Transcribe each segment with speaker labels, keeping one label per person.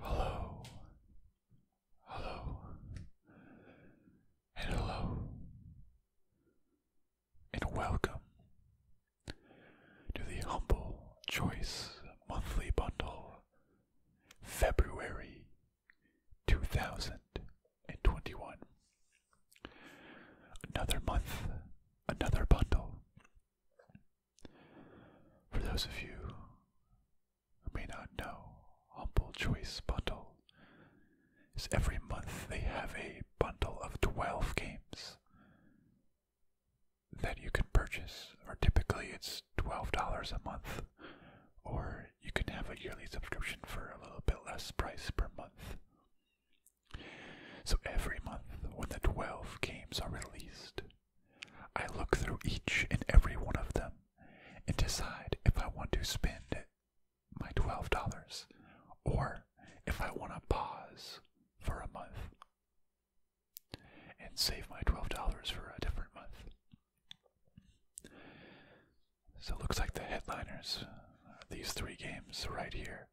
Speaker 1: Hello. Hello. And hello. And welcome to the Humble Choice Monthly Bundle, February 2021. Another month another bundle. For those of you who may not know, Humble Choice Bundle is every month they have a bundle of 12 games that you can purchase, or typically it's $12 a month, or you can have a yearly subscription for a little bit less price per month. So every month, when the twelve games are released, I look through each and every one of them and decide if I want to spend my $12 or if I want to pause for a month and save my $12 for a different month. So it looks like the headliners are these three games right here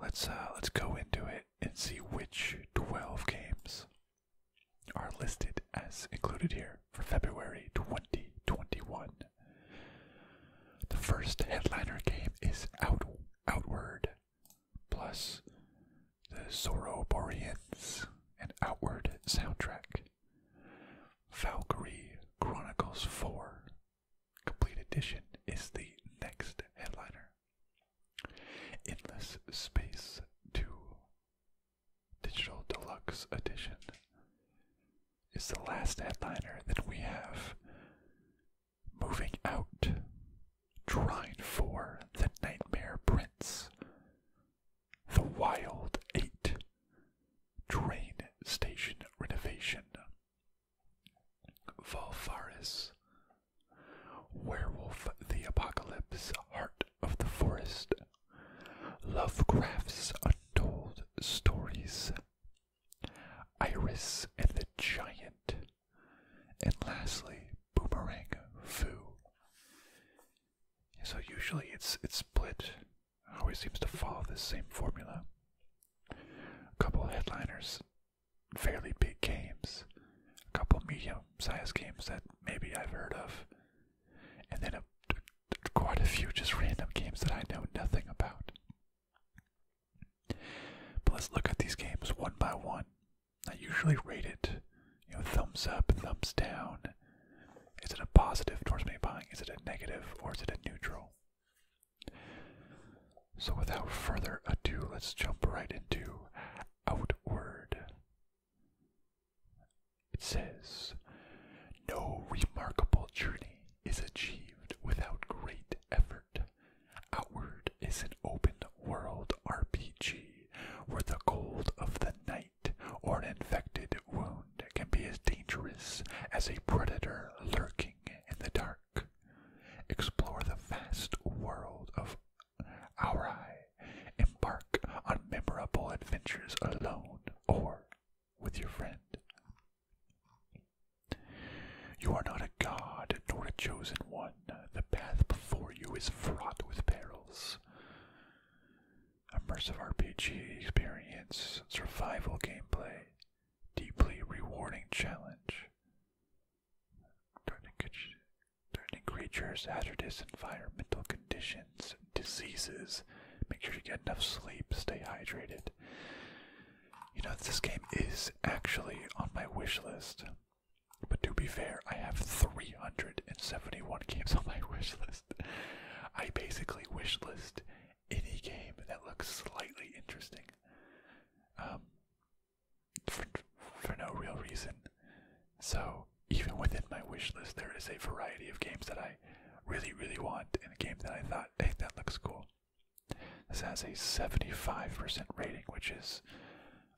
Speaker 1: Let's uh, let's go into it and see which 12 games are listed as included here for February 2021. The first headliner game is Out Outward plus the Zoroboreans and Outward soundtrack. Valkyrie Chronicles 4 Complete Edition is the next headliner. Endless Space 2 Digital Deluxe Edition is the last headliner that we have. Moving out, Trine 4, The Nightmare Prince, The Wild 8, Train Station Renovation, Volfaris, Werewolf the Apocalypse, Heart of the Forest, Lovecraft's Untold Stories, Iris and the Giant, and lastly, Boomerang Foo. So usually it's it's split. always seems to follow the same formula. A couple headliners fairly big games, a couple medium-sized games that maybe I've heard of, and then a, quite a few just random games that I know nothing about. But let's look at these games one by one. I usually rate it, you know, thumbs up, thumbs down. Is it a positive towards me buying? Is it a negative, or is it a neutral? So, without further ado, let's jump right into Outward. It says, No remarkable journey is achieved without great effort. Outward is an open world RPG where the cold of the night or an infected wound can be as dangerous as a predator lurking in the dark. Explore the vast world of Aurai. Embark on memorable adventures alone or with your friend. You are not a god nor a chosen one. The path before you is fraught with perils. Immersive RPG experience, survival gameplay, deeply rewarding challenge. Threatening creatures, hazardous environmental conditions, diseases. Make sure you get enough sleep, stay hydrated. You know, this game is actually on my wish list. But to be fair, I have 371 games on my wish list. I basically wish list any game that looks slightly interesting um, for, for no real reason. So, even within my wish list, there is a variety of games that I really, really want, and a game that I thought, hey, that looks cool. This has a 75% rating, which is,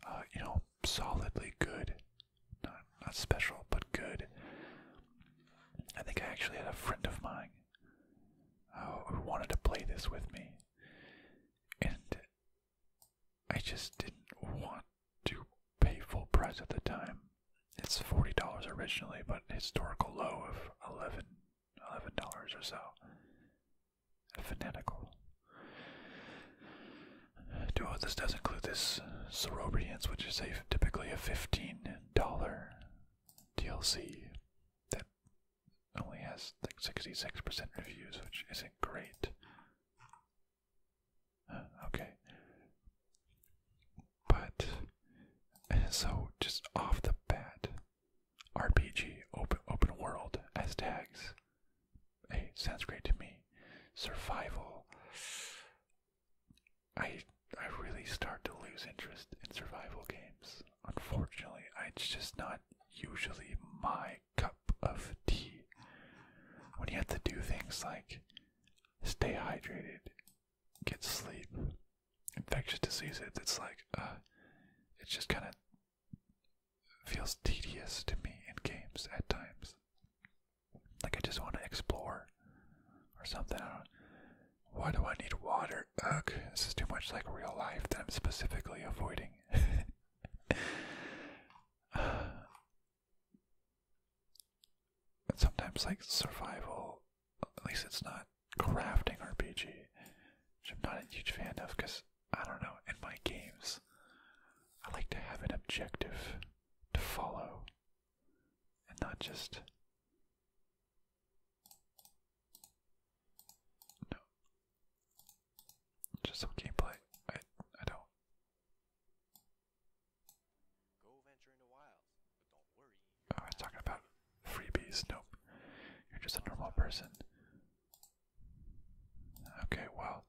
Speaker 1: uh, you know, solidly good. Not, not special, but good. I think I actually had a friend of mine Oh, who wanted to play this with me, and I just didn't want to pay full price at the time. It's forty dollars originally, but historical low of eleven, eleven dollars or so. Fanatical. Do Duo, this does include this Cerobrians, which is a, typically a fifteen dollar DLC that only has like 66% reviews, which isn't great. Uh, okay. But, so just off the bat, RPG, open, open world as tags. Hey, sounds great to me. Survival. I I really start to lose interest in survival games unfortunately. It's just not usually my cup of tea. When you have to do things like stay hydrated, get sleep, infectious diseases, it's like, uh, it just kind of feels tedious to me in games at times. Like I just want to explore or something. Why do I need water? Ugh, this is too much like real life that I'm specifically avoiding. uh, but sometimes, like survival, at least it's not crafting RPG, which I'm not a huge fan of because I don't know, in my games, I like to have an objective to follow and not just no. Just some gameplay. I I don't. Oh, I was talking about freebies. Nope. You're just a normal person. Okay, well.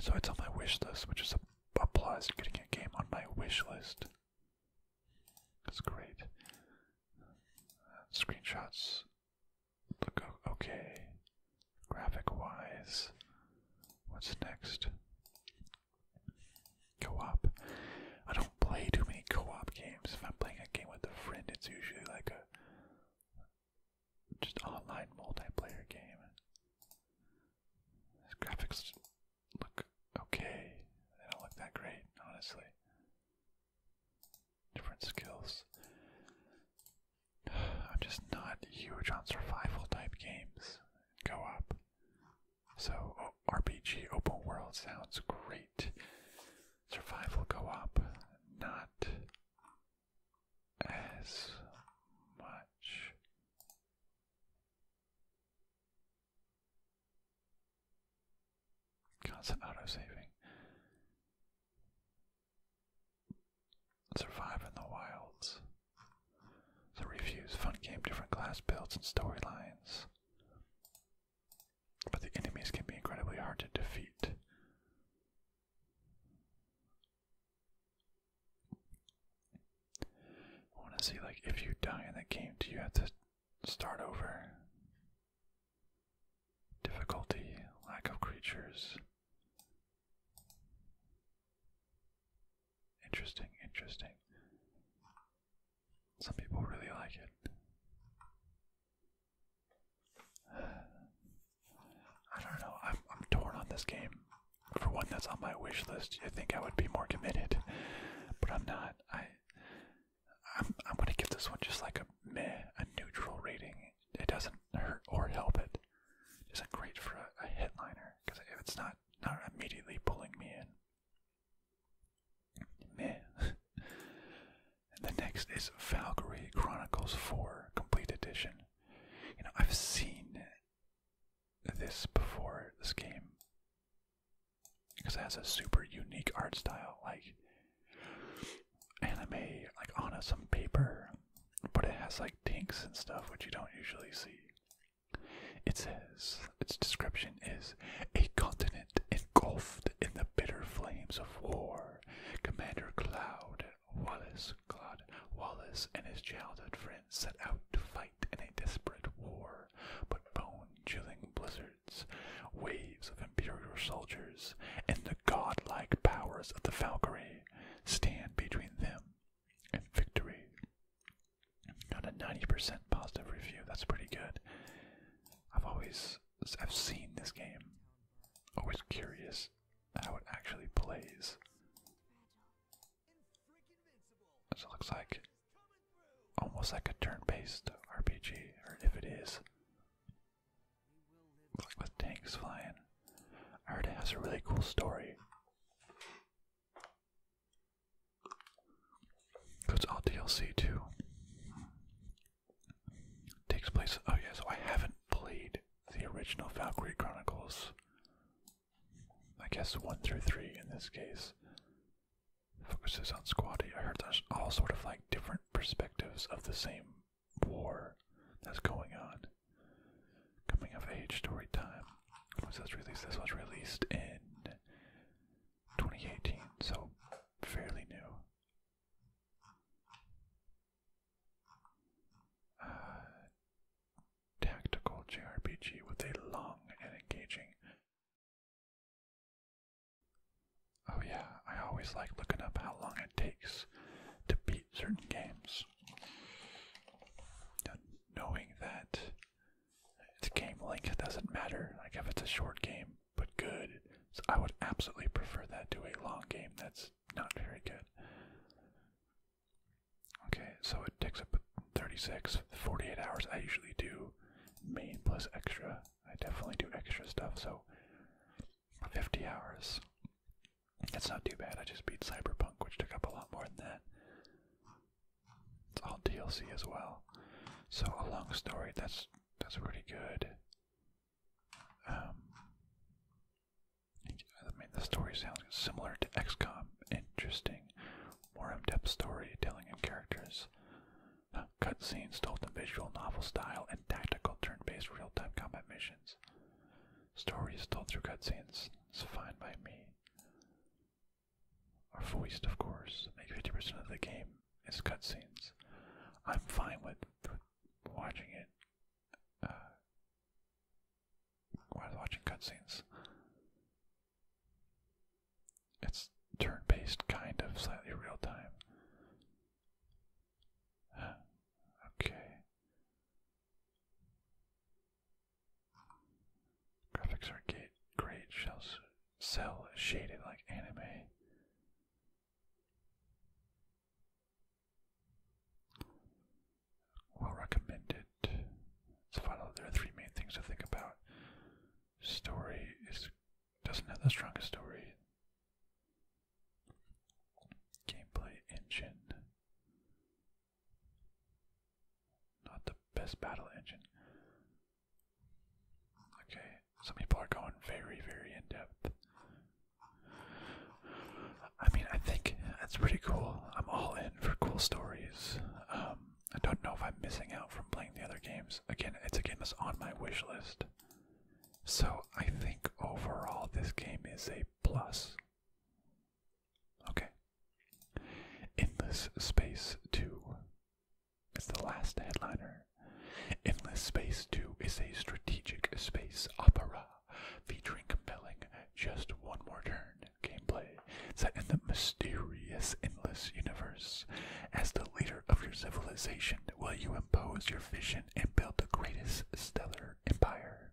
Speaker 1: So it's on my wish list, which is a applies getting a game on my wish list. That's great. screenshots look okay. Graphic wise, what's next? Co op. I don't play too many co op games. If I'm playing a game with a friend, it's usually like a just online multiplayer game. graphics look okay. They don't look that great, honestly. Different skills. I'm just not huge on survival type games. Go up. So, RPG open world sounds great. Survival go up, not as much. Constant auto saving. Survive in the wilds. The reviews, fun game, different class builds and storylines. But the enemies can be incredibly hard to defeat. I want to see, like, if you die in the game, do you have to Start over. Difficulty, lack of creatures. Interesting, interesting. Some people really like it. I don't know. I'm, I'm torn on this game. For one that's on my wish list, you think I would be more committed, but I'm not. I I'm I'm gonna give this one just like a meh, a neutral rating. It doesn't hurt or help it. It isn't great for a, a headliner because if it's not not immediately pulling me in, meh. the next is Valkyrie Chronicles 4 Complete Edition. You know I've seen this before this game because it has a super unique art style, like anime, like on a, some paper, but it has like tinks and stuff, which you don't usually see. It says its description is a continent engulfed in the bitter flames of war. Commander Cloud Wallace, Cloud Wallace, and his childhood friends set out to fight in a desperate war, but bone-chilling blizzards waves of Imperial soldiers, and the godlike powers of the Valkyrie stand between them and victory. Got a 90% positive review, that's pretty good. I've always I've seen this game. Always curious how it actually plays. So it looks like almost like a turn-based RPG, or if it is, like with tanks flying. I heard it has a really cool story. It's all DLC too. Takes place. Oh yeah, so I haven't played the original Valkyrie Chronicles. I guess one through three in this case focuses on Squatty. I heard there's all sort of like different perspectives of the same war that's going on. Coming of age story time. was released? This was released in 2018, so fairly new. Uh, tactical JRPG with a long and engaging Oh, yeah, I always like looking up how long it takes to beat certain games. knowing that the game length doesn't matter, like if it's a short game but good, I would absolutely prefer that to a long game that's not very good. Okay, so it takes up 36, 48 hours. I usually do main plus extra. I definitely do extra stuff, so 50 hours. That's not too bad. I just beat Cyberpunk, which took up a lot more than that. It's all DLC as well. So a long story. That's that's pretty good. Um, I mean, the story sounds similar to XCOM. Interesting, more in-depth storytelling and characters. Uh, cutscenes told in visual novel style and tactical turn-based real-time combat missions. Stories told through cutscenes. It's fine by me. Are voiced, of course. Like 50% of the game is cutscenes. I'm fine with, watching it. Uh, while watching cutscenes it's turn-based, kind of, slightly real-time. Okay. Graphics are great. Shells cell shaded like anime. Well recommended. So, follow there are three main things to think about story doesn't have the strongest story. Gameplay engine. Not the best battle engine. Okay, some people are going very, very in depth. I mean, I think that's pretty cool. I'm all in for cool stories. Um, I don't know if I'm missing out from playing the other games. Again, it's a game that's on my wish list. So I think overall this game is a plus. Okay. Endless Space 2. is the last headliner. Endless Space 2 is a strategic space opera featuring compelling just one more turn gameplay set in the mysterious endless universe. As the leader of your civilization, will you impose your vision and build the greatest stellar empire?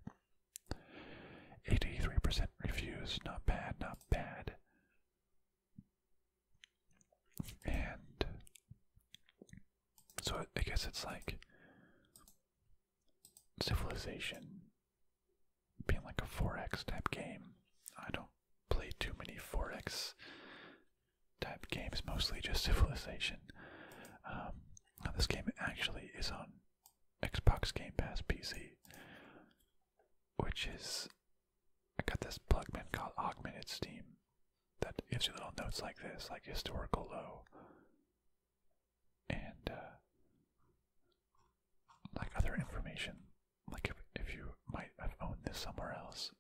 Speaker 1: 83% reviews, not bad, not bad. And so I guess it's like civilization being like a forex type game. I don't play too many forex type games, mostly just Civilization. Um, this game actually is on Xbox Game Pass PC, which is I got this plug-in called Augmented Steam that gives you little notes like this, like historical low, and uh, like other information like if, if you might have owned this somewhere else.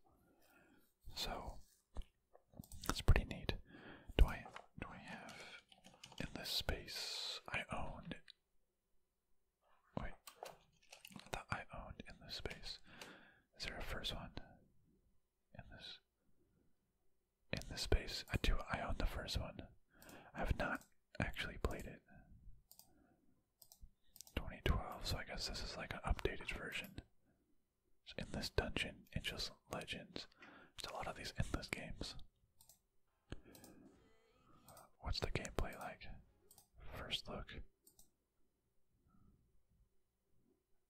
Speaker 1: So it's pretty neat. Do I do I have in this space I owned wait that I owned in this space. Is there a first one? In this in this space. I do I own the first one. I have not actually played it. 2012, so I guess this is like an updated version. In this Dungeon, it's just Legends. It's a lot of these endless games. What's the gameplay like? First look.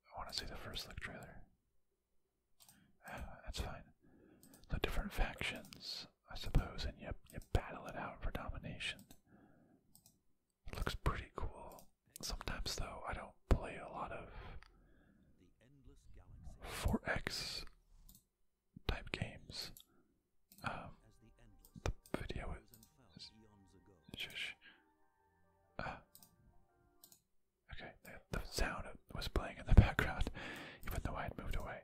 Speaker 1: I want to see the first look trailer. Ah, that's fine. The different factions. I suppose, and you, you battle it out for domination. It looks pretty cool. Sometimes, though, I don't play a lot of 4X type games. Um, the video is. Shush. Uh, okay, the sound was playing in the background, even though I had moved away.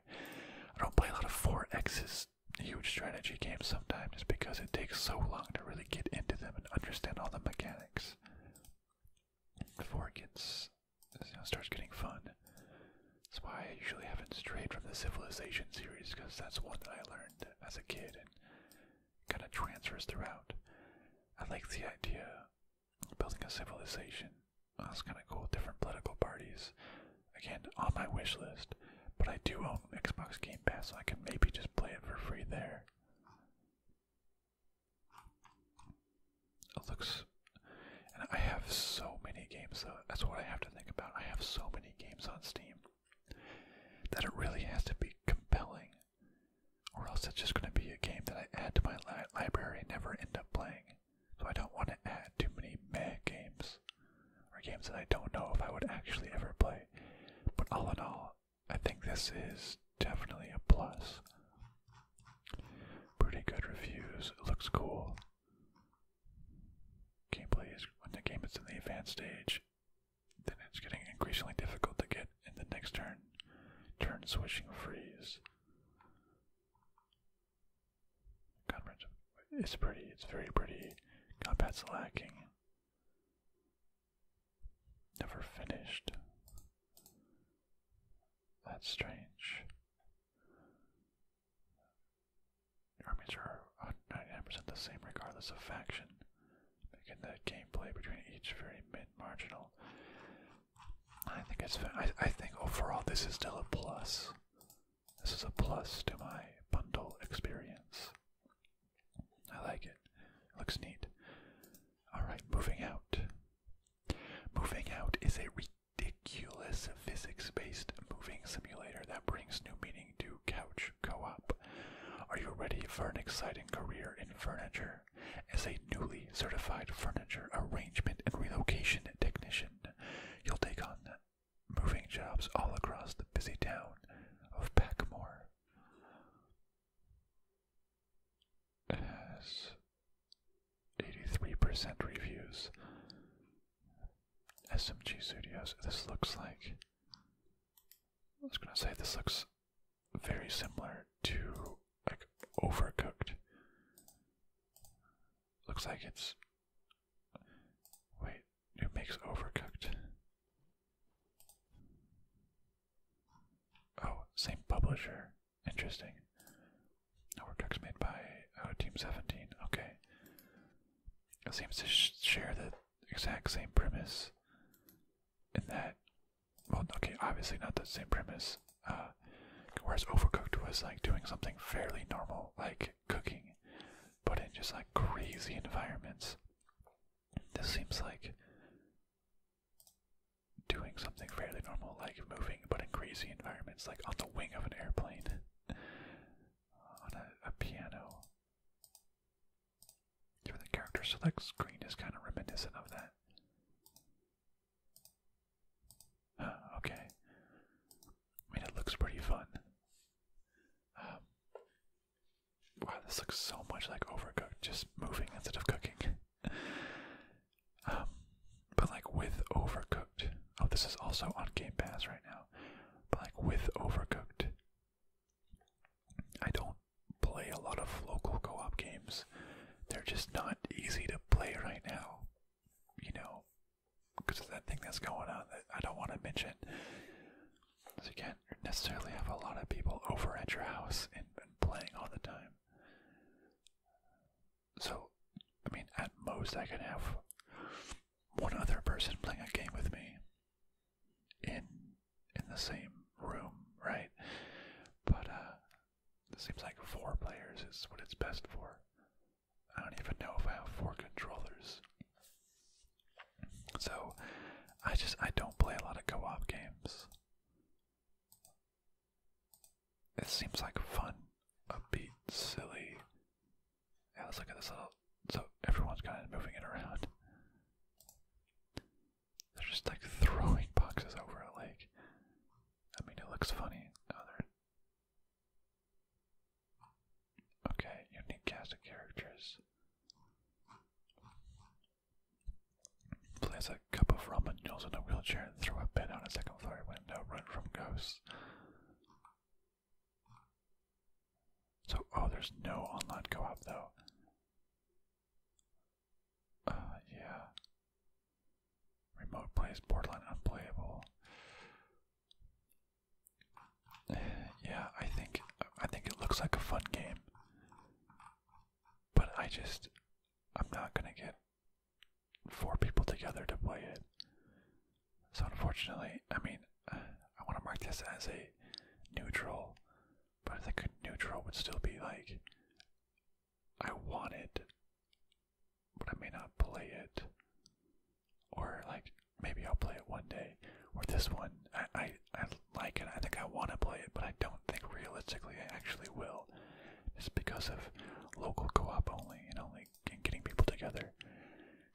Speaker 1: I don't play a lot of 4Xs huge strategy games sometimes because it takes so long to really get into them and understand all the mechanics before it gets starts getting fun. That's why I usually haven't strayed from the Civilization series because that's one that I learned as a kid and kind of transfers throughout. I like the idea of building a civilization. That's kind of cool. Different political parties, again on my wish list, but I do own Xbox Game Pass, so I can maybe just play it for free there. It looks, and I have so many games. that's what I have to think about. I have so many games on Steam that it really has to be compelling, or else it's just going to be a game that I add to my library and never end up playing. So I don't want to add too many meh games are games that I don't know if I would actually ever play. But all in all, I think this is definitely a plus. Pretty good reviews. looks cool. Gameplay is when the game is in the advanced stage, then it's getting increasingly difficult to get in the next turn. Turn switching freeze. Comrades, it's pretty. It's very pretty. Combat's lacking. Never finished. That's strange. Armies are 99% the same regardless of faction, making the gameplay between each very mid marginal. I think it's. I think overall this is still a plus. This is a plus to my bundle experience. I like it. looks neat. Alright, moving out. Moving out is a ridiculous physics based moving simulator that brings new meaning to couch co op. Are you ready for an exciting career in furniture? As a newly certified furniture arrangement and relocation technician, you'll take on moving jobs all across the busy town of Packmore. 83% reviews. SMG Studios. This looks like. I was gonna say this looks very similar to like Overcooked. Looks like it's. Wait, it makes Overcooked. Oh, same publisher. Interesting. Overcooked made by oh, Team 17. Okay. It seems to share the exact same premise. In that, well, okay, obviously not the same premise. Uh, whereas Overcooked was like doing something fairly normal, like cooking, but in just like crazy environments. This seems like doing something fairly normal, like moving, but in crazy environments, like on the wing of an airplane, on a, piano. the character select screen is kind of reminiscent of that. okay. I mean, it looks pretty fun. Um, wow, this looks so much like Overcooked, just moving instead of cooking. Um, but like with Overcooked, oh, this is also on Game Pass right now. But like with Overcooked, I don't play a lot of local co-op games. They're just not easy to play right now. You know, because of that thing that's going on that I don't want to mention. So you can't necessarily have a lot of people over at your house and, playing all the time. So, I mean, at most I can have one other person playing a game with me in in the same room, right? But uh, it seems like four players is what it's best for. I don't even know if I have four controllers. So I just I don't play a lot of co-op games. It seems like fun, upbeat, silly. Yeah, let's look at this little so everyone's kind of moving it around. They're just like throwing boxes over a lake. I mean, it looks funny. Oh, they're Okay, unique cast of characters. Place a cup of ramen noodles in a wheelchair and throw a bed on a second floor window. Run from ghosts. So, oh, there's no online co-op though. Uh, yeah. Remote plays Borderland unplayable. Yeah, I think I think it looks like a fun game. But I just I'm not gonna get four people together to play it. So unfortunately, I mean, I want to mark this as a neutral, but I think neutral would still be like I want it, but I may not play it or like maybe I'll play it one day. Or this one, I I, I like it. I think I want to play it, but I don't think realistically I actually will. Just because of local co-op only and only getting people together.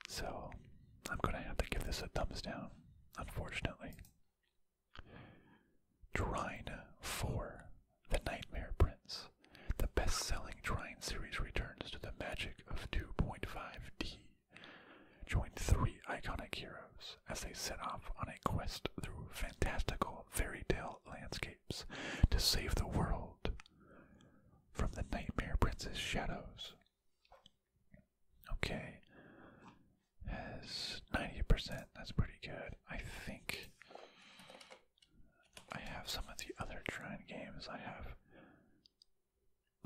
Speaker 1: So I'm gonna have to give this a thumbs down, unfortunately. Trine 4, The Nightmare Prince. The best selling Trine series returns to the magic of 2.5D. Join three iconic heroes as they set off on a quest through fantastical fairy tale landscapes to save the world from the Nightmare Princess shadows. Okay, has 90%, that's pretty good. I think I have some of the other Trine games. I have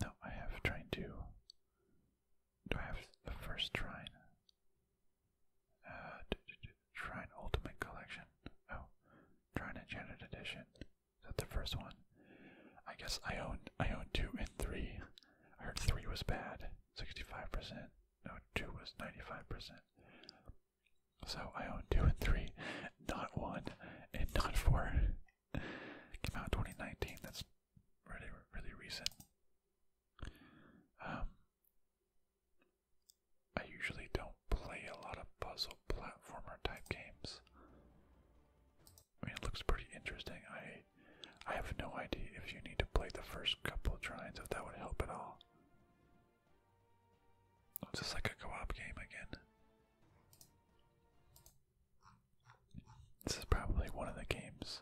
Speaker 1: no, I have Trine 2. Do I have the first Trine? Uh, d -d -d Trine Ultimate Collection. Oh, Trine Enchanted Edition. Is that the first one? I guess I own I own two and three. I heard three was bad, sixty-five percent. No, two was ninety-five percent. So I own two and three, not one and not four. Came out 2019. That's really, really recent. Um, I usually don't play a lot of puzzle platformer type games. I mean, it looks pretty interesting. I, I have no idea if you need to play the first couple tries if that would help at all. It's just like a co-op game again. This is probably one of the games.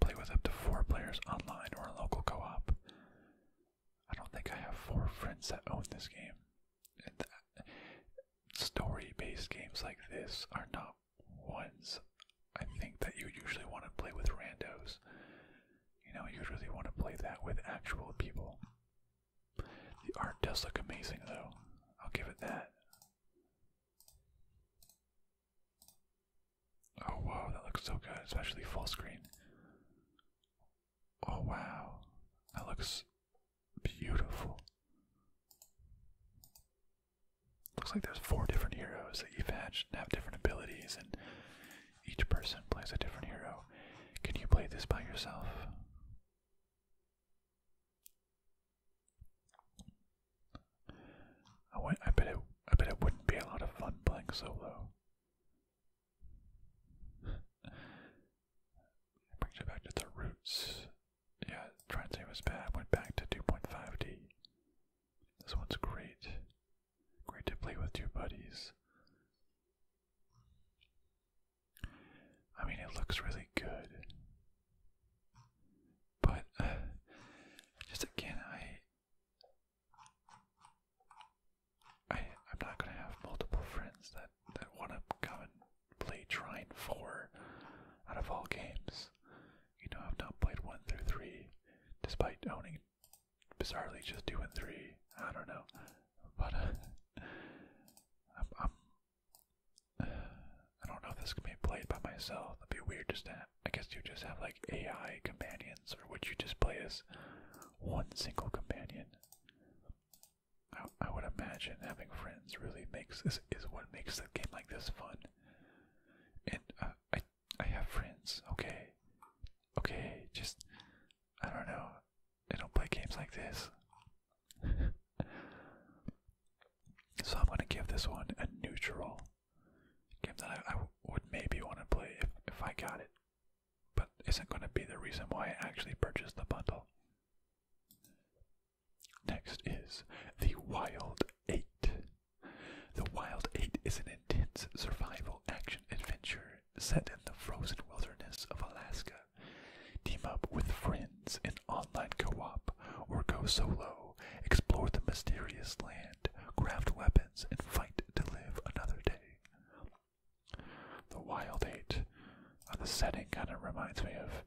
Speaker 1: Play with up to four players online or a local co op. I don't think I have four friends that own this game. Story based games like this are not ones I think that you usually want to play with randos. You know, you usually want to play that with actual people. The art does look amazing, though. I'll give it that. Oh, wow, that looks so good, especially full screen. Oh, wow, that looks beautiful. Looks like there's four different heroes that you've hatched and have different abilities, and each person plays a different hero. Can you play this by yourself? I, bet it. I bet it wouldn't be a lot of fun playing solo. Brings you back to the roots. Yeah, trying to say was bad. Went back to 2.5D. This one's great. Great to play with two buddies. I mean, it looks really good. But, uh, just again, I, I, I'm not gonna have multiple friends that that wanna come and play Trine Four out of all games. You know, I've not played one through three, despite owning, bizarrely, just two and three. I don't know but uh, I'm, i don't know if this can be played by myself. That'd be weird. Just I guess you just have like AI companions, or would you just play as one single companion? I, I would imagine having friends really makes is is what makes a game like this fun. And uh, I I have friends. Okay, okay. Just I don't know. I don't play games like this. so I'm gonna give this one a neutral game that I, I would maybe want to play if, if I got it, but isn't gonna be the reason why I actually purchased the bundle. Next is The Wild 8. The Wild 8 is an intense survival action adventure set in the frozen wilderness of Alaska. Team up with friends in online co op or go solo, explore the mysterious land, craft weapons, and fight to live another day. The Wild Eight. Uh, the setting kind of reminds me of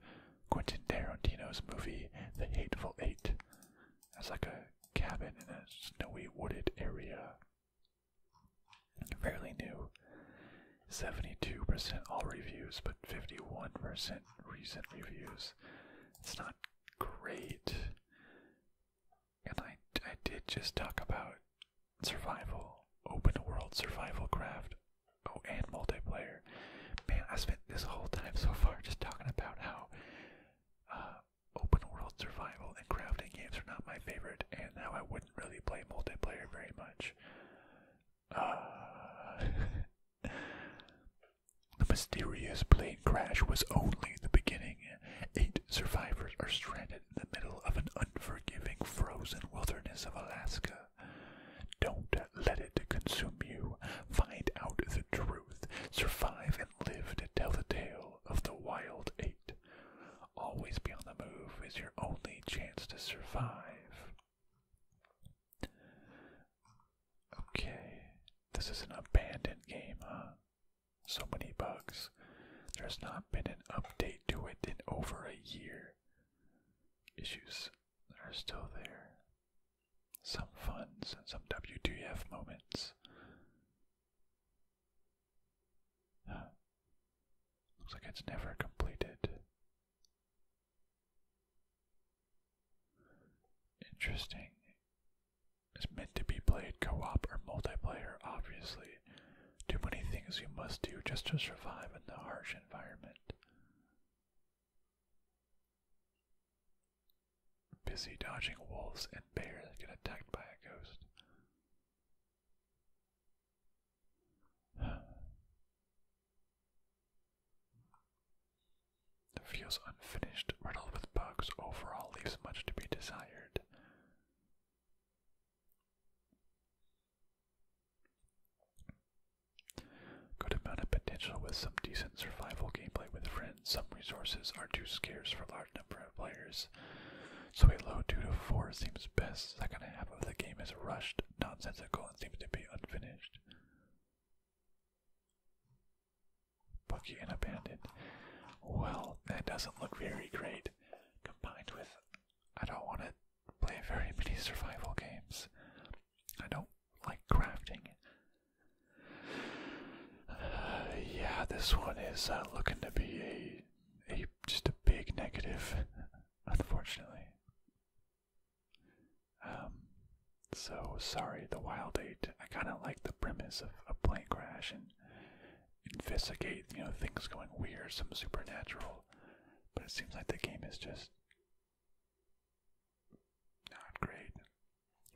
Speaker 1: Quentin Tarantino's movie The Hateful Eight. That's like a cabin in a snowy wooded area Fairly new. 72% all reviews, but 51% recent reviews. It's not great. And I, I did just talk about survival, open world survival craft, oh, and multiplayer. Man, I spent this whole time so far just talking about how uh, open world survival and crafting games are not my favorite, and how I would really play multiplayer very much. Uh, the mysterious plane crash was only the beginning. Eight survivors are stranded in the middle of an unforgiving frozen wilderness of Alaska. Don't let it consume you. Find out the truth. Survive and live to tell the tale of the Wild Eight. Always be on the move is your only chance to survive. Okay, this is an abandoned game, huh? So many bugs. There's not been an update to it in over a year. Issues are still there. Some funs and some WTF moments. Looks like it's never completed. Interesting. It's meant to be played co op or multiplayer, obviously. Too many things you must do just to survive in the harsh environment. Busy dodging wolves and bears get attacked by a ghost. It feels unfinished, riddled with bugs, overall leaves much to be desired. Good amount of potential with some decent survival gameplay with friends. Some resources are too scarce for large number of players so a low 2 to 4 seems best. Second half of the game is rushed, nonsensical, and seems to be unfinished. Bucky and abandoned. Well, that doesn't look very great. Combined with, I don't want to play very many survival games. I don't like crafting. yeah, this one is uh, looking to be a a just a big negative, unfortunately. Um, so sorry, the Wild Eight. I kind of like the premise of a plane crash and investigate, you know, things going weird, some supernatural. But it seems like the game is just not great.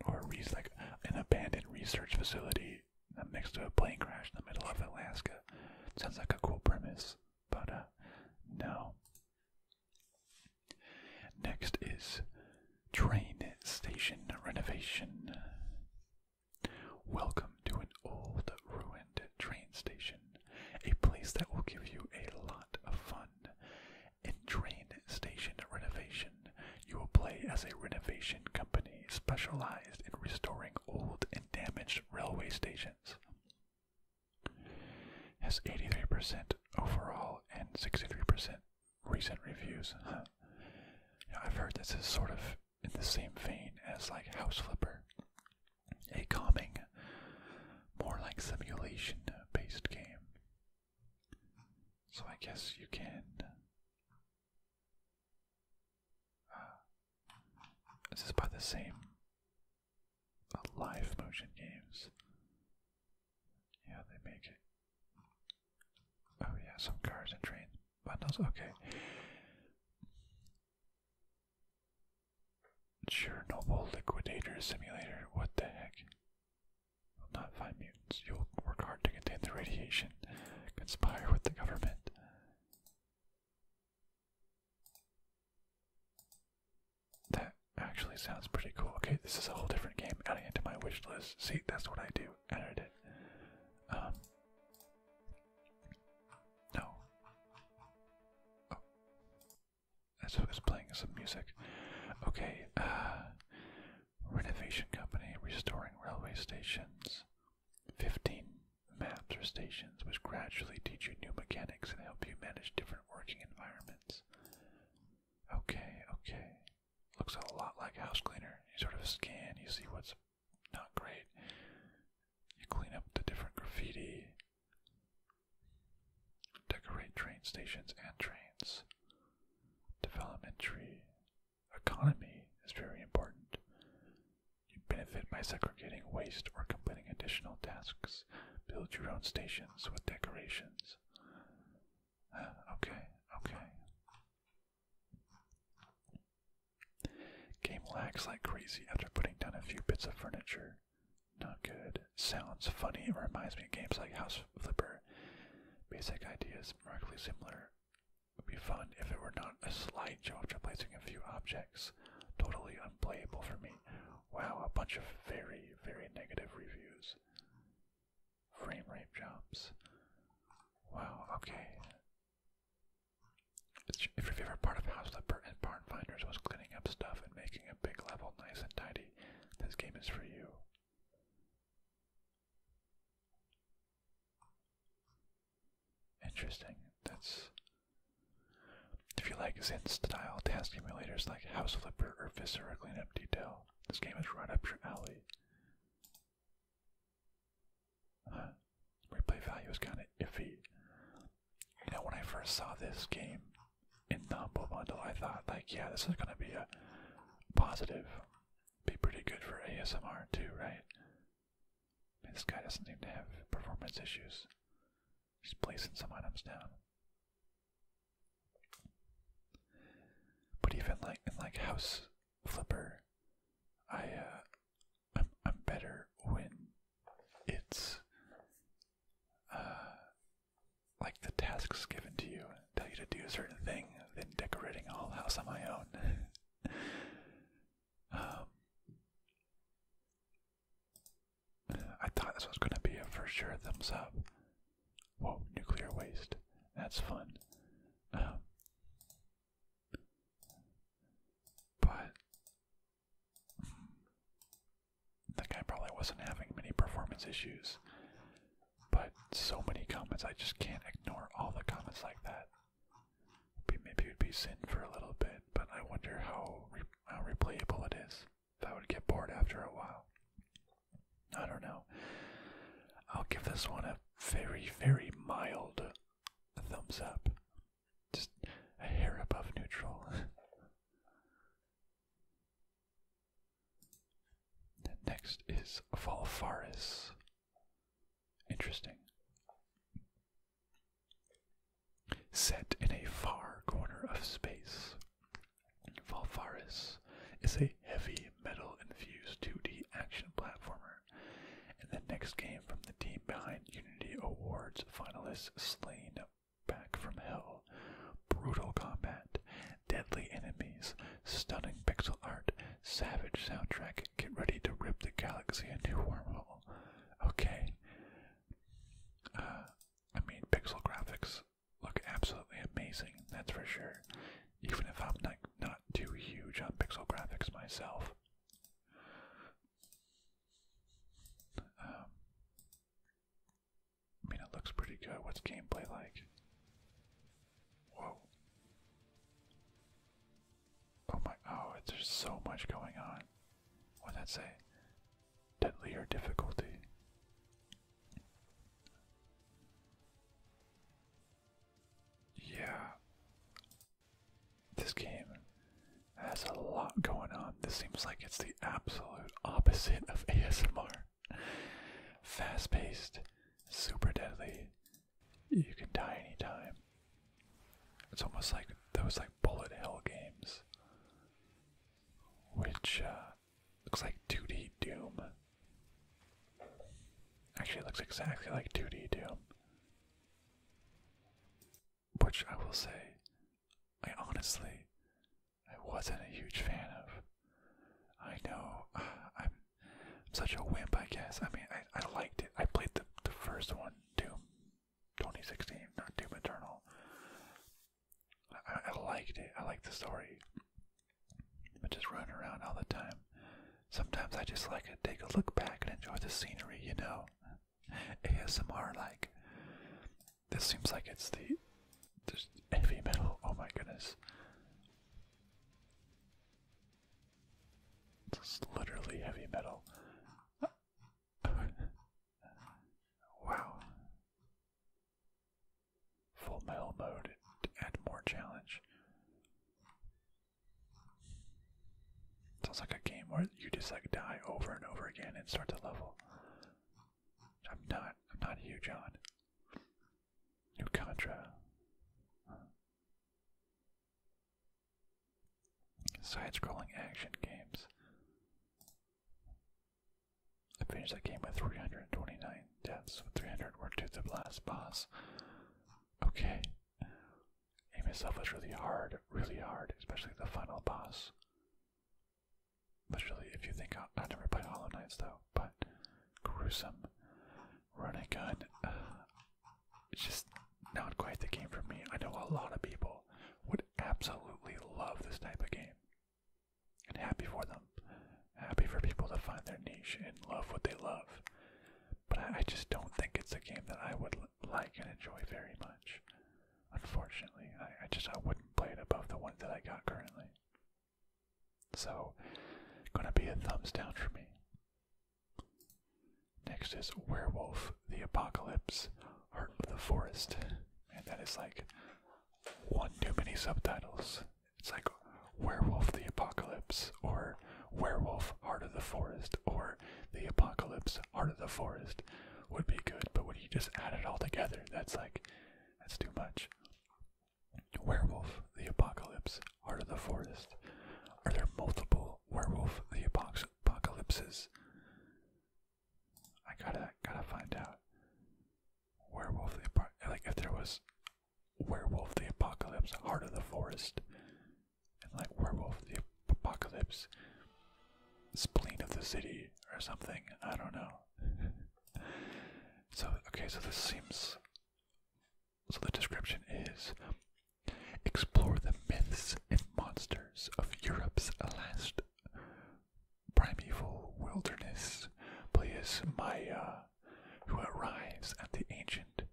Speaker 1: Or like an abandoned research facility I'm next to a plane crash in the middle of Alaska. Sounds like a cool premise, but uh, no. Next is train station renovation. Welcome to an old ruined train station, a place that will give you a lot of fun. In train station renovation, you will play as a renovation company specialized in restoring old damaged railway stations has 83% overall and 63% recent reviews. I've heard this is sort of in the same vein as like House Flipper, a calming, more like simulation based game. So I guess you can this is by the same live motion games. Yeah, they make it. Oh yeah, some cars and train bundles. Okay. Chernobyl Liquidator Simulator. What the heck? not find mutants. You'll work hard to contain the radiation. Conspire with the government. That actually sounds pretty cool. Okay, this is a whole different game. Adding it to my wish list. See, that's what I do. Added it. Um. No. Oh. So it's playing some music. Okay. Uh. Renovation company restoring railway stations. 15 maps or stations which gradually teach you new mechanics and help you manage different working environments. Okay, okay. Looks a lot like house cleaner. You sort of scan, you see what's not great. You clean up the different graffiti, decorate train stations and trains, development tree, economy is very important. You benefit by segregating waste or completing additional tasks. Build your own stations with decorations. Uh, okay, okay. Game lags like crazy after putting down a few bits of furniture. Not good. Sounds funny. It reminds me of games like House Flipper. Basic ideas, remarkably similar would be fun if it were not a slideshow of replacing a few objects. Totally unplayable for me. Wow, a bunch of very, very negative reviews. Frame rate jumps. Wow, okay. if your favorite part of House of the Burton Barn Finders was cleaning up stuff and making a big level nice and tidy, this game is for you. Interesting. That's if you like Zen style task emulators like House Flipper or Viscera Cleanup Detail, this game is right up your alley. Replay value is kind of iffy. You know, when I first saw this game in the Humble Bundle, I thought, like, yeah, this is going to be a positive, be pretty good for ASMR too, right? This guy doesn't seem to have performance issues. He's placing some items down. But even like in like House Flipper, I uh, I'm I'm better when it's uh, like the tasks given to you tell you to do a certain thing than decorating a whole house on my own. Um, I thought this was going to be a for sure thumbs up. Whoa, nuclear waste. That's fun. Um, but hmm, the guy probably wasn't having many performance issues. But so many comments, I just can't ignore all the comments like that. Maybe it would be sin for a little bit, but I wonder how, how replayable it is. I would get bored after a while. I don't know. I'll give this one a very, very mild thumbs up. Just a hair above neutral. Next is Valfaris Interesting. Set in a far corner of space, Valfaris is a heavy metal infused 2D action platformer, and the next game from the team behind Unity Awards finalist Slain Back from Hell. Brutal combat, deadly enemies, stunning pixel art, Savage soundtrack. Get ready to rip the galaxy a new wormhole. Okay. Uh, I mean, pixel graphics look absolutely amazing. That's for sure. Even if I'm not not too huge on pixel graphics myself. Um, I mean, it looks pretty good. What's gameplay like? Whoa. Oh my, oh, there's so much going on. What'd that say? Deadlier difficulty. Yeah. This game has a lot going on. This seems like it's the absolute opposite of ASMR. Fast paced, super deadly, you can die anytime. It's almost like those like bullet hell games, which uh, looks like 2D Doom. Actually, looks exactly like 2D Doom. Which I will say, I honestly, I wasn't a huge fan of. I know I'm I'm such a wimp, I guess. I mean, I, I liked it. I played the, the first one, Doom 2016, not Doom Eternal. I, liked it. I liked the story. But just running around all the time. Sometimes I just like to take a look back and enjoy the scenery, you know? ASMR, like. This seems like it's the heavy metal. Oh my goodness. It's is literally heavy metal. wow. Full metal mode to add more challenge. Sounds like a game where you just like die over and over again and start to level. I'm not I'm not huge on. New Contra. Huh. Side scrolling action games. I finished that game with 329 deaths, with 300 were to the last boss. Okay. Aim itself was really hard, really hard, especially the final boss. But really, if you think, i never played Hollow Knights though, but gruesome. Run a gun it's just not quite the game for me. I know a lot of people would absolutely love this type of game. And happy for them. Happy for people to find their niche and love what they love. But I, just don't think it's a game that I would like and enjoy very much. Unfortunately, I, just I wouldn't play it above the one that I got currently. So, gonna be a thumbs down for me. Next is Werewolf, the Apocalypse, Heart of the Forest. And that is like one too many subtitles. It's like Werewolf, the Apocalypse, or Werewolf, Heart of the Forest, or The Apocalypse, Heart of the Forest would be good. But when you just add it all together, that's like, that's too much. Werewolf, the Apocalypse, Heart of the Forest? Are there multiple werewolf the apocalypses? I gotta gotta find out. Werewolf the apocalypse. Like if there was werewolf the apocalypse, Heart of the Forest, and like werewolf the apocalypse, spleen of the city or something. I don't know. so okay, so this seems. So the description is Explore the myths and monsters of Europe's last primeval wilderness. Play as Maya, who arrives at the ancient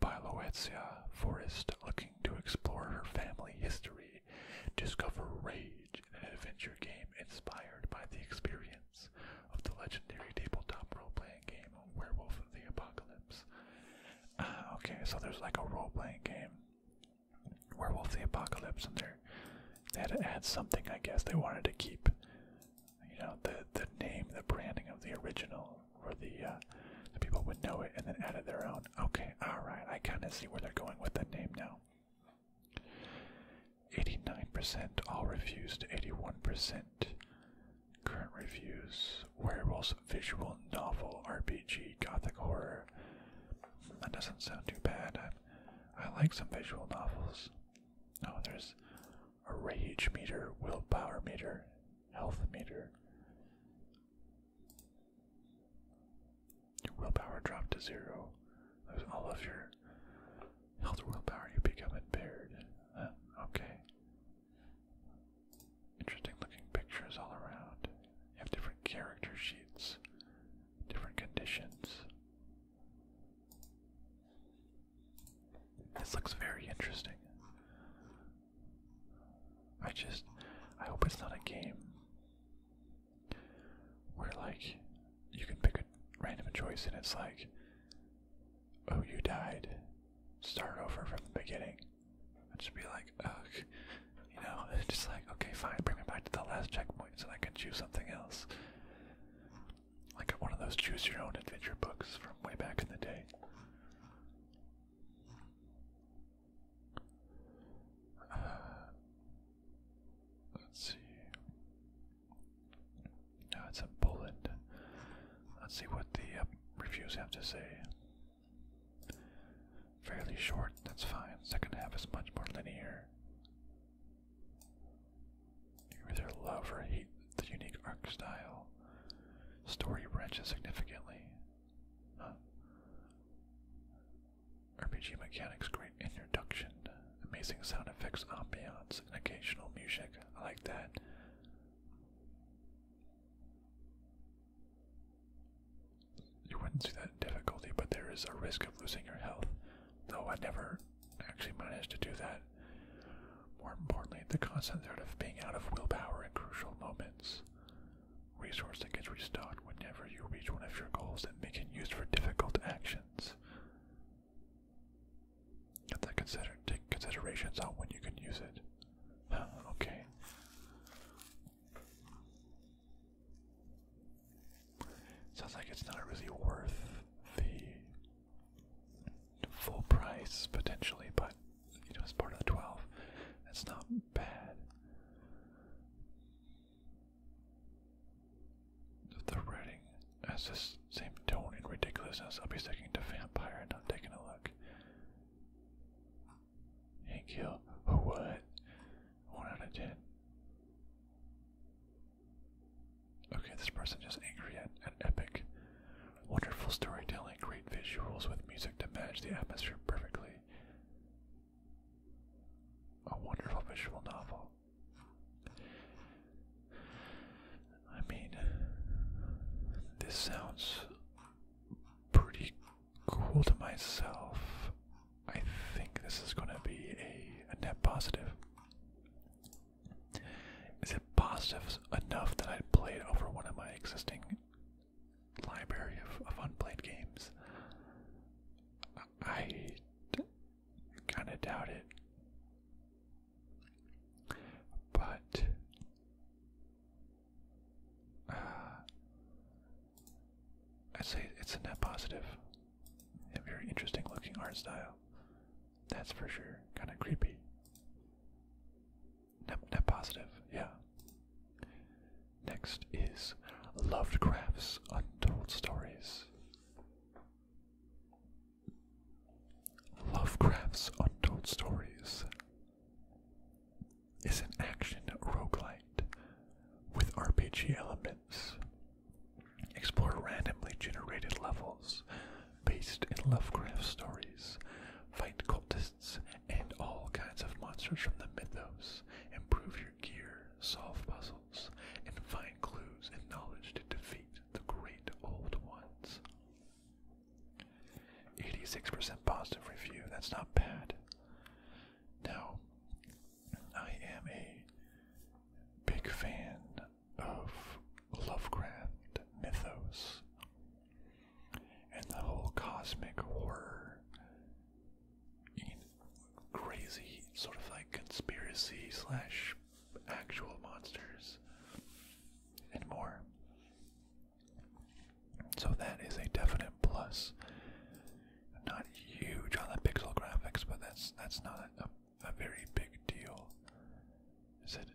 Speaker 1: Biloetzia forest looking to explore her family history. Discover rage in an adventure game inspired by the experience of the legendary tabletop role playing game Werewolf of the Apocalypse. Ah, okay, so there's like a role playing game, Werewolf of the Apocalypse, and they had to add something, I guess. They wanted to keep, you know, the, the name, the branding of the original, where the, uh, the people would know it, and then added their own. Okay, alright, I kind of see where they're going with the name now. 89% all refused, 81% Current reviews Werewolves visual novel RPG gothic horror. That doesn't sound too bad. I, like some visual novels. Oh, there's a rage meter, willpower meter, health meter. Your willpower dropped to zero. Lose all of your Health willpower, you become impaired. Uh, okay. Interesting looking pictures all around. You have different character sheets, different conditions. This looks very interesting. I just, I hope it's not a game where, like, you can pick a random choice and it's like, oh, you died. Start over from the beginning. I'd just be like, ugh. You know, just like, okay, fine, bring me back to the last checkpoint so I can choose something else. Like one of those choose your own adventure books from way back in the day. Uh, let's see. No, it's in Poland. Let's see what the uh, reviews have to say. Fairly short, that's fine. Second half is much more linear. You either love or hate the unique art style. Story branches significantly. RPG mechanics, great introduction, amazing sound effects, ambiance, and occasional music. I like that. You wouldn't see that difficulty, but there is a risk of losing your health, though I never actually managed to do that. More importantly, the constant threat of being out of willpower in crucial moments. Resource that gets restocked whenever you reach one of your goals that may get used for difficult actions. Get that consider take considerations on when you can use it. okay. Sounds like it's not really worth the full price potentially, but you know it's part of the twelve. That's not bad. The Reading has this same tone and ridiculousness, I'll be sticking to vampire and not taking a look. Hank Hill, oh what? One out of ten. Okay, this person just angry at, an epic. Wonderful storytelling, great visuals with music to match the atmosphere perfectly. A wonderful visual novel. I mean, this sounds pretty cool to myself. I think this is going to be a, net positive. Is it positive enough that I'd play it over one of my existing library of unplayed games? I kind of doubt it. But uh, i say it's a net positive. very interesting looking art style. That's for sure. Kind of creepy. Net, net positive, yeah. Next is Lovecraft's Untold Stories. Lovecraft's Untold Stories is an action roguelite with RPG elements. Explore randomly generated levels based in Lovecraft stories, fight cultists and all kinds of monsters from the mythos, improve your gear, solve puzzles, and find clues and knowledge to defeat the great old ones. 86% positive review, that's not bad. Now, I am a big fan of Lovecraft mythos and the whole cosmic horror, crazy sort of like conspiracy slash actual monsters, and more. So that is a definite plus. Not huge on the pixel graphics, but that's that's not a, a very big deal. Is it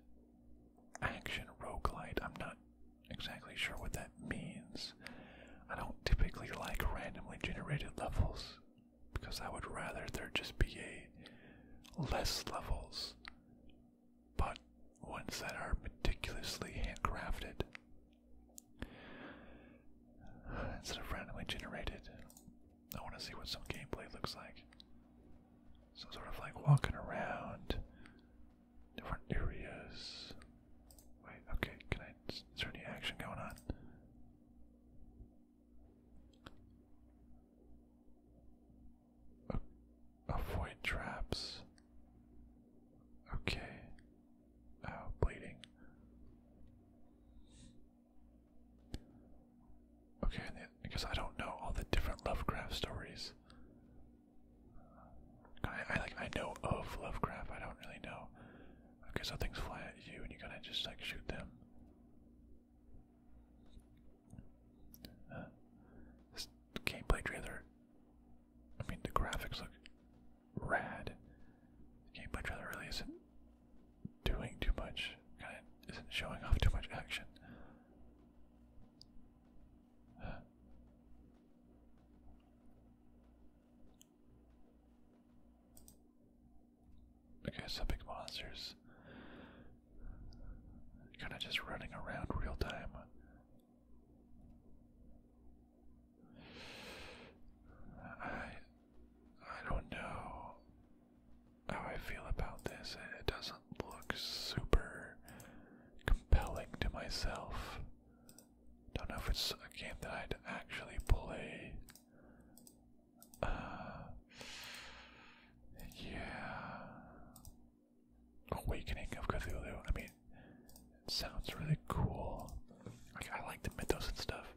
Speaker 1: action roguelite? I'm not exactly sure what that means. I don't typically like randomly generated levels because I would rather there just be a less levels, but ones that are meticulously handcrafted instead of randomly generated. I want to see what some gameplay looks like. So, sort of like walking around different areas. Wait, okay, can I? Is there any action going on? Avoid traps. Okay. Oh, bleeding. Okay, because I don't know all the different Lovecraft stories. I like I know of Lovecraft. I don't really know. Okay, so things fly at you, and you gotta just like shoot them. Uh, this gameplay trailer, I mean, the graphics look rad. The gameplay trailer really isn't doing too much, kind of isn't showing off too much action. Okay, guess big monsters. Kind of just running around real time. I I don't know how I feel about this. and It doesn't look super compelling to myself. Don't know if it's a game that I'd actually play. Uh, yeah. Awakening of Cthulhu. I mean, sounds really cool. I like the mythos and stuff.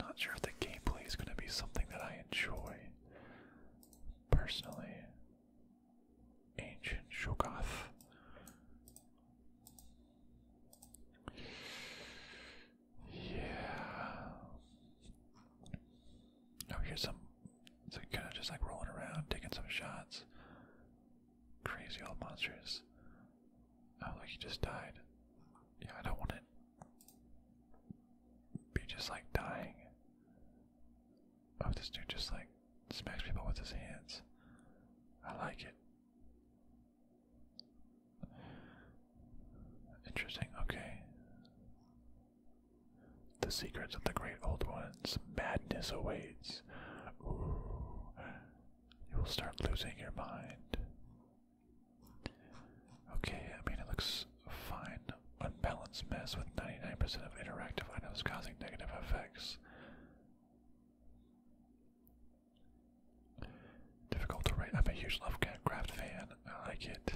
Speaker 1: Not sure if the gameplay is going to be something that I enjoy personally. Ancient Shogoth. Yeah. Oh, here's some. So kind of just like rolling around, taking some shots. Crazy old monsters. Oh, look, he just died. Yeah, I don't want it. Be just like dying. Oh, this dude just like smacks people with his hands. I like it. Interesting, okay. The secrets of the great old ones. Madness awaits. You will start losing your mind. Okay, I mean, it looks fine. Unbalanced mess with 99% of interactive items causing negative effects. Difficult to rate. I'm a huge Lovecraft fan. I like it.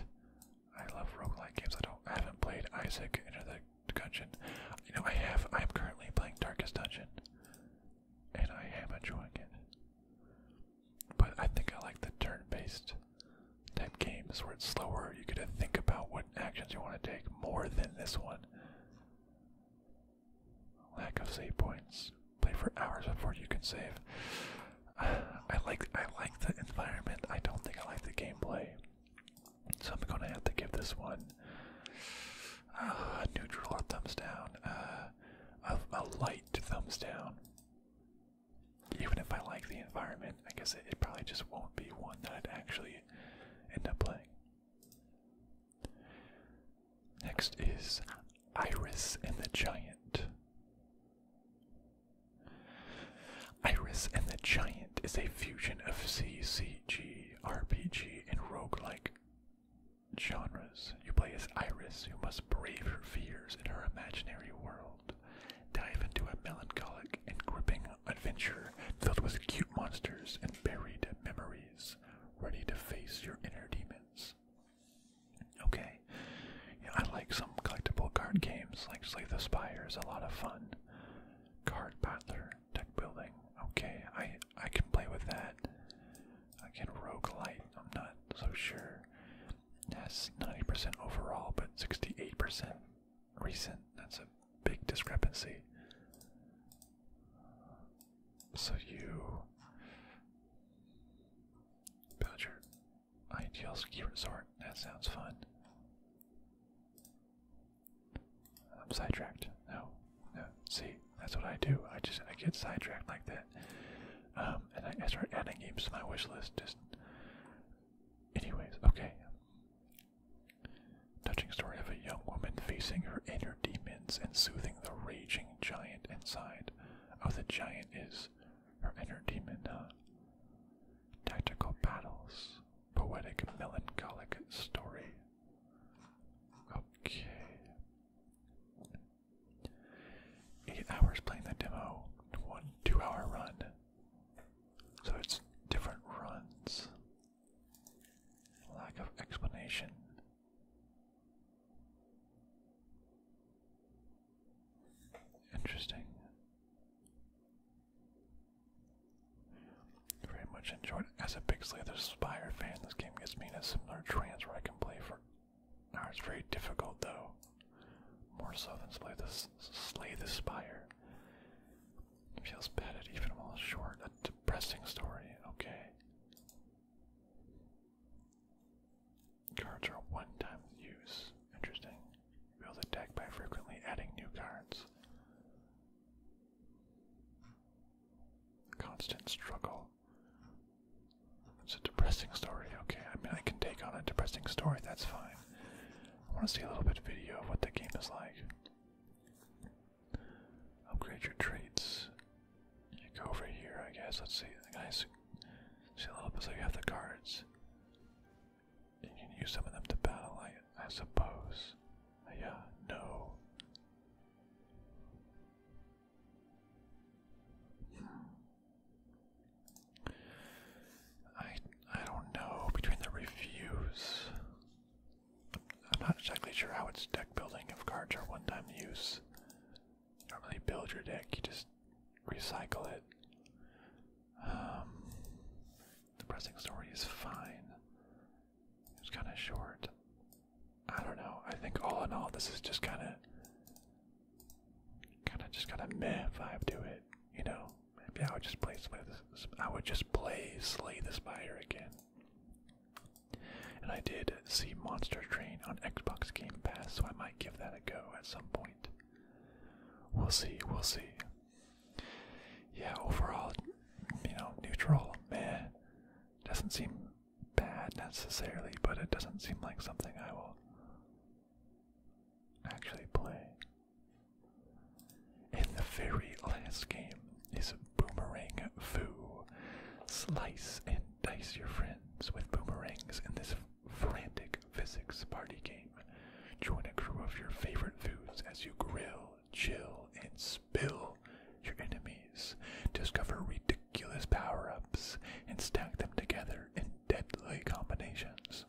Speaker 1: I love roguelike games. I don't I haven't played Isaac Enter the Dungeon. You know I have I'm currently playing Darkest Dungeon and I am enjoying it. But I think I like the turn based type games where it's slower, you gotta think about what actions you want to take more than this one. Lack of save points. Play for hours before you can save. I like I like the environment. I don't think I like the gameplay. So I'm gonna have to give this one uh, a neutral or thumbs down. Uh, a, light thumbs down. Even if I like the environment, I guess it probably just won't be one that I'd actually end up playing. Next is Iris and the Giant. Iris and the Giant is a fusion of CCG, RPG, and roguelike genres. You play as Iris, who must brave her fears in her imaginary world, dive into a melancholic and gripping adventure filled with cute monsters and buried memories, ready to face your inner demons. Okay. I like some collectible card games like Slay the Spire is a lot of fun. Card battler, deck building. Okay, I I can play with that. I can Rogue roguelite, I'm not so sure. That's 90% overall, but 68% recent. That's a big discrepancy. So you. Villager, Ideal ski resort. That sounds fun. I'm sidetracked. No, no. See, that's what I do. I just I get sidetracked like that, um, and I, start adding games to my wish list. Just, anyways, okay. Touching story of a young woman facing her inner demons and soothing the raging giant inside. Oh, the giant is her inner demon, huh? Tactical battles, poetic, melancholic story. Okay. Eight hours playing the demo, one two hour run. So it's different runs. Lack of explanation. Interesting. Very much enjoyed. As a big Slither fan, this game gets me in a similar trance where I can play for now it's very difficult though. More so than slay the feels petted even while short. A depressing story, okay. Cards are one time use. Interesting. Build a deck by frequently adding new cards. Constant struggle. It's a depressing story. Okay, I mean, I can take on a depressing story, that's fine. I want to see a little bit of video of what the game is like. Upgrade your traits. You go over here, I guess. Let's see. Guys, see how little bit have the cards. You can use some of them to battle, I, suppose. Yeah, no. I I don't know between the reviews. I'm not exactly sure how its deck building if cards are one-time use you don't really build your deck, you just recycle it. Um, the pressing story is fine. It's kind of short. I don't know. I think all in all, this is just kind of, kind of just kind of meh vibe to it. You know, maybe I would just play slay the spider again. And I did see Monster Train on Xbox Game Pass, so I might give that a go at some point. We'll see, we'll see. Yeah, overall, you know, neutral, meh. Doesn't seem bad necessarily, but it doesn't seem like something I will actually play. In the very last game is Boomerang Foo. Slice and dice your friends with boomerangs in this frantic physics party game. Join a crew of your favorite foods as you grill, chill, and spill your enemies. Discover ridiculous power ups and stack them together in deadly combinations.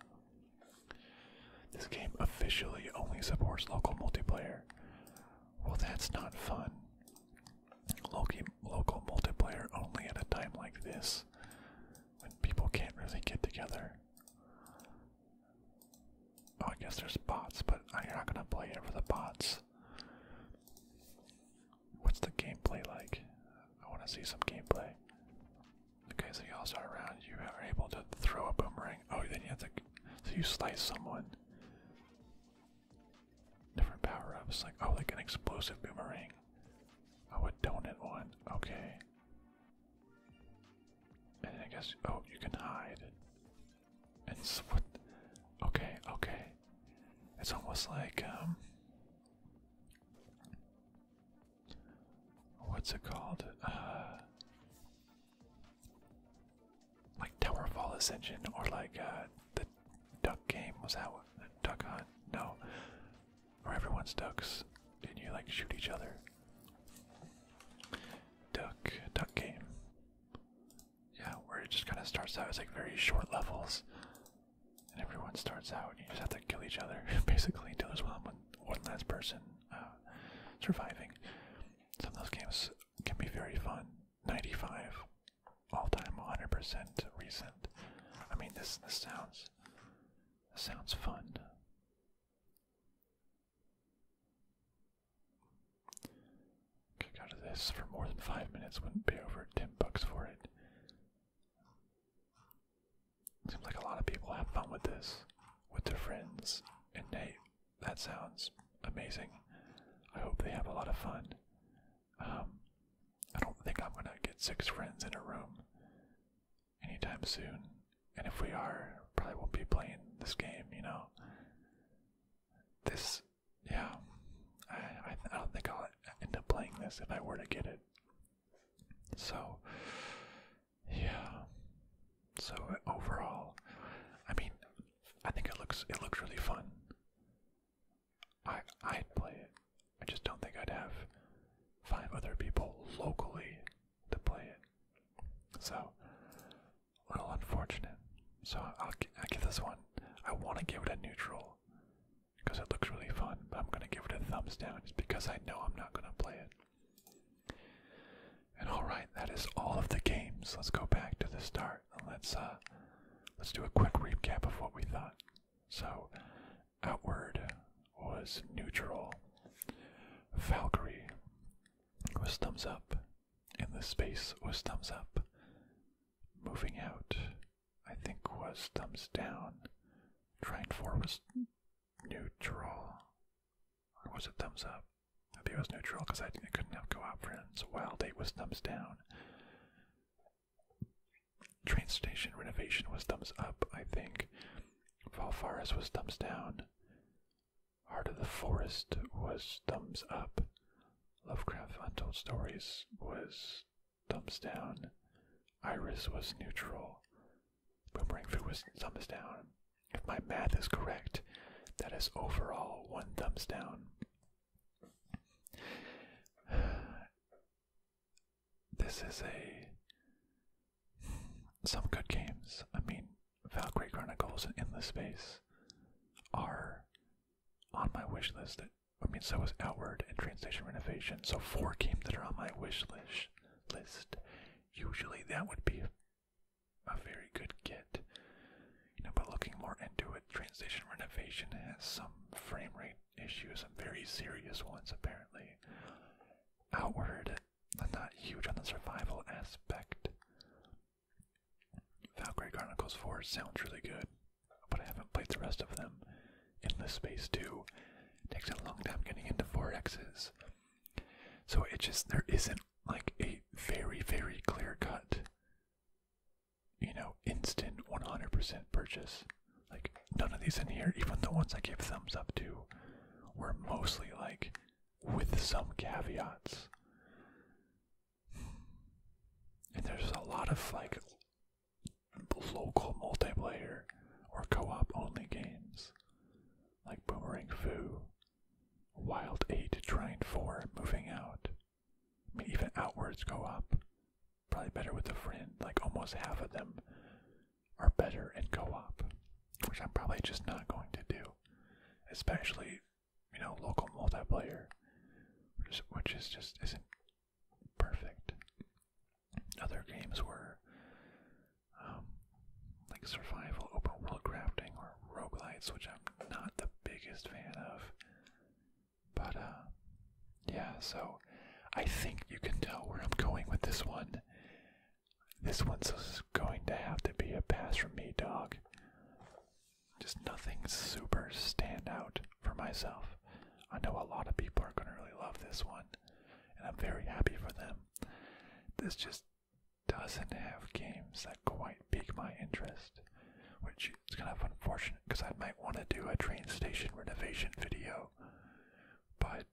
Speaker 1: This game officially only supports local multiplayer. Well, that's not fun. local multiplayer only at a time like this when people can't really get together. Oh, I guess there's bots, but you're not gonna play it for the bots. What's the gameplay like? I want to see some gameplay. Okay, so you also are around. You are able to throw a boomerang. Oh, then you have to. So you slice someone. Different power ups, like oh, like an explosive boomerang. Oh, a donut one. Okay. And I guess oh, you can hide. And what? Okay, okay. It's almost like um. What's it called? Uh, like Tower Fall Ascension, or like uh, the Duck Game. Was that one? Duck Hunt? No, or everyone's ducks, and you like shoot each other. Duck, duck game. Yeah, where it just kind of starts out as like very short levels, and everyone starts out, and you just have to kill each other basically until there's one, one last person uh, surviving. Some of those games can be very fun. 95, all time, 100% recent. I mean, this this sounds Sounds fun. Could go to this for more than five minutes, wouldn't pay over 10 bucks for it. Seems like a lot of people have fun with this, with their friends, and hey, that sounds amazing. I hope they have a lot of fun. Um, I don't think I'm gonna get six friends in a room anytime soon. And if we are, probably won't be playing this game, you know. This, yeah, I, I, I don't think I'll end up playing this if I were to get it. So, yeah. So overall, I mean, I think it looks it looks really fun. I i play it. I just don't think I'd have five other people locally to play it. So a little unfortunate. So I'll I give this one. I want to give it a neutral because it looks really fun, but I'm gonna give it a thumbs down just because I know I'm not gonna play it. And all right, that is all of the games. Let's go back to the start and let's uh let's do a quick recap of what we thought. So outward was neutral. Valkyrie was thumbs up, and the space was thumbs up. Moving out, I think, was thumbs down. Trine 4 was neutral. Or was it thumbs up? Maybe it was neutral because I, I couldn't have co op friends. Wild 8 was thumbs down. Train station renovation was thumbs up, I think. Valfaris was thumbs down. Heart of the Forest was thumbs up. Lovecraft Untold Stories was thumbs down. Iris was neutral. Boomerang Food was thumbs down. If my math is correct, that is overall one thumbs down this is a some good games. I mean, Valkyrie Chronicles in the Space are on my wish list. I mean, so is Outward and Train Station Renovation. So four games that are on my wish list. Usually that would be a very good get. You know, but looking more into it, Transition Renovation has some frame rate issues, some very serious ones apparently. Outward, I'm not huge on the survival aspect. Valkyrie Chronicles 4 sounds really good, but I haven't played the rest of them. In Endless Space too, takes a long time getting into 4Xs. So it just, there isn't like a very, very clear cut, you know, instant 100% purchase. Like, none of these in here, even the ones I give thumbs up to, were mostly like with some caveats. And there's a lot of like local multiplayer or co op only games like Boomerang Foo, Wild 8 Trine 4, Moving Out, I mean, even Outwards go up probably better with a friend. Like almost half of them are better in co-op, which I'm probably just not going to do, especially you know local multiplayer, which is, just isn't perfect. Other games were um, like survival, open world crafting, or roguelites, which I'm not the biggest fan of. But, uh, yeah, so I think you can tell where I'm going with this one. This one's going to have to be a pass from me, dog. Just nothing super stand out for myself. I know a lot of people are going to really love this one, and I'm very happy for them. This just doesn't have games that quite pique my interest, which is kind of unfortunate because I might want to do a train station renovation video but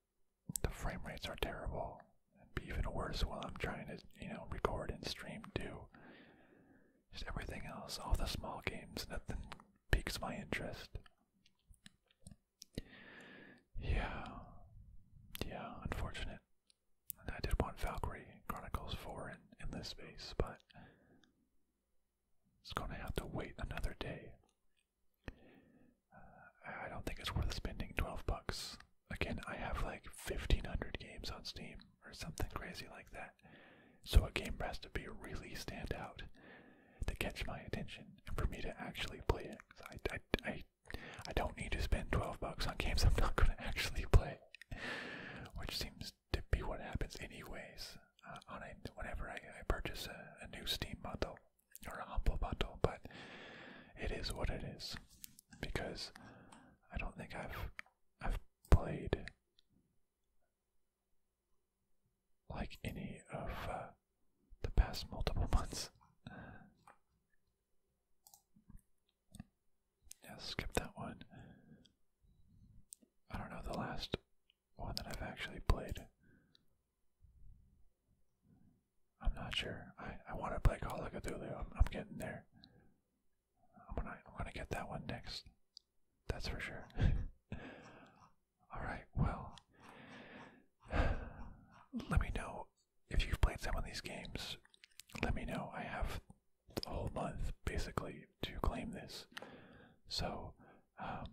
Speaker 1: the frame rates are terrible and be even worse while I'm trying to, you know, record and stream Do Just everything else, all the small games, nothing piques my interest. Yeah. Yeah, unfortunate. I did want Valkyrie Chronicles 4 in this space, but it's going to have to wait another day. Uh, I don't think it's worth spending 12 bucks. Again, I have like 1500 games on Steam or something crazy like that. So a game has to be really stand out to catch my attention and for me to actually play it. I, I, I don't need to spend 12 bucks on games I'm not going to actually play, which seems to be what happens anyways. Uh, on whenever I, purchase a, new Steam bundle or a Humble bundle, but it is what it is because I don't think I've I've played like any of uh, the past multiple months. Yeah, skip that one. I don't know the last one that I've actually played. I'm not sure. I, I want to play Call of Cthulhu. I'm, getting there. I'm gonna I'm gonna get that one next. That's for sure. All right. Well, let me know if you've played some of these games. Let me know. I have a whole month basically to claim this. So, um,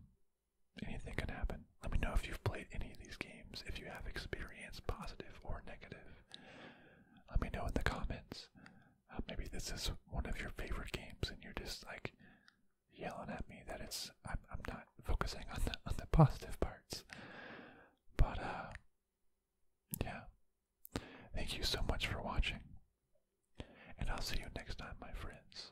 Speaker 1: anything can happen. Let me know if you've played any of these games, if you have experienced positive or negative. Let me know in the comments. Uh, maybe this is one of your favorite games, and you're just like yelling at me that it's I'm, I'm not focusing on the on the positive parts. But uh, yeah. Thank you so much for watching, and I'll see you next time, my friends.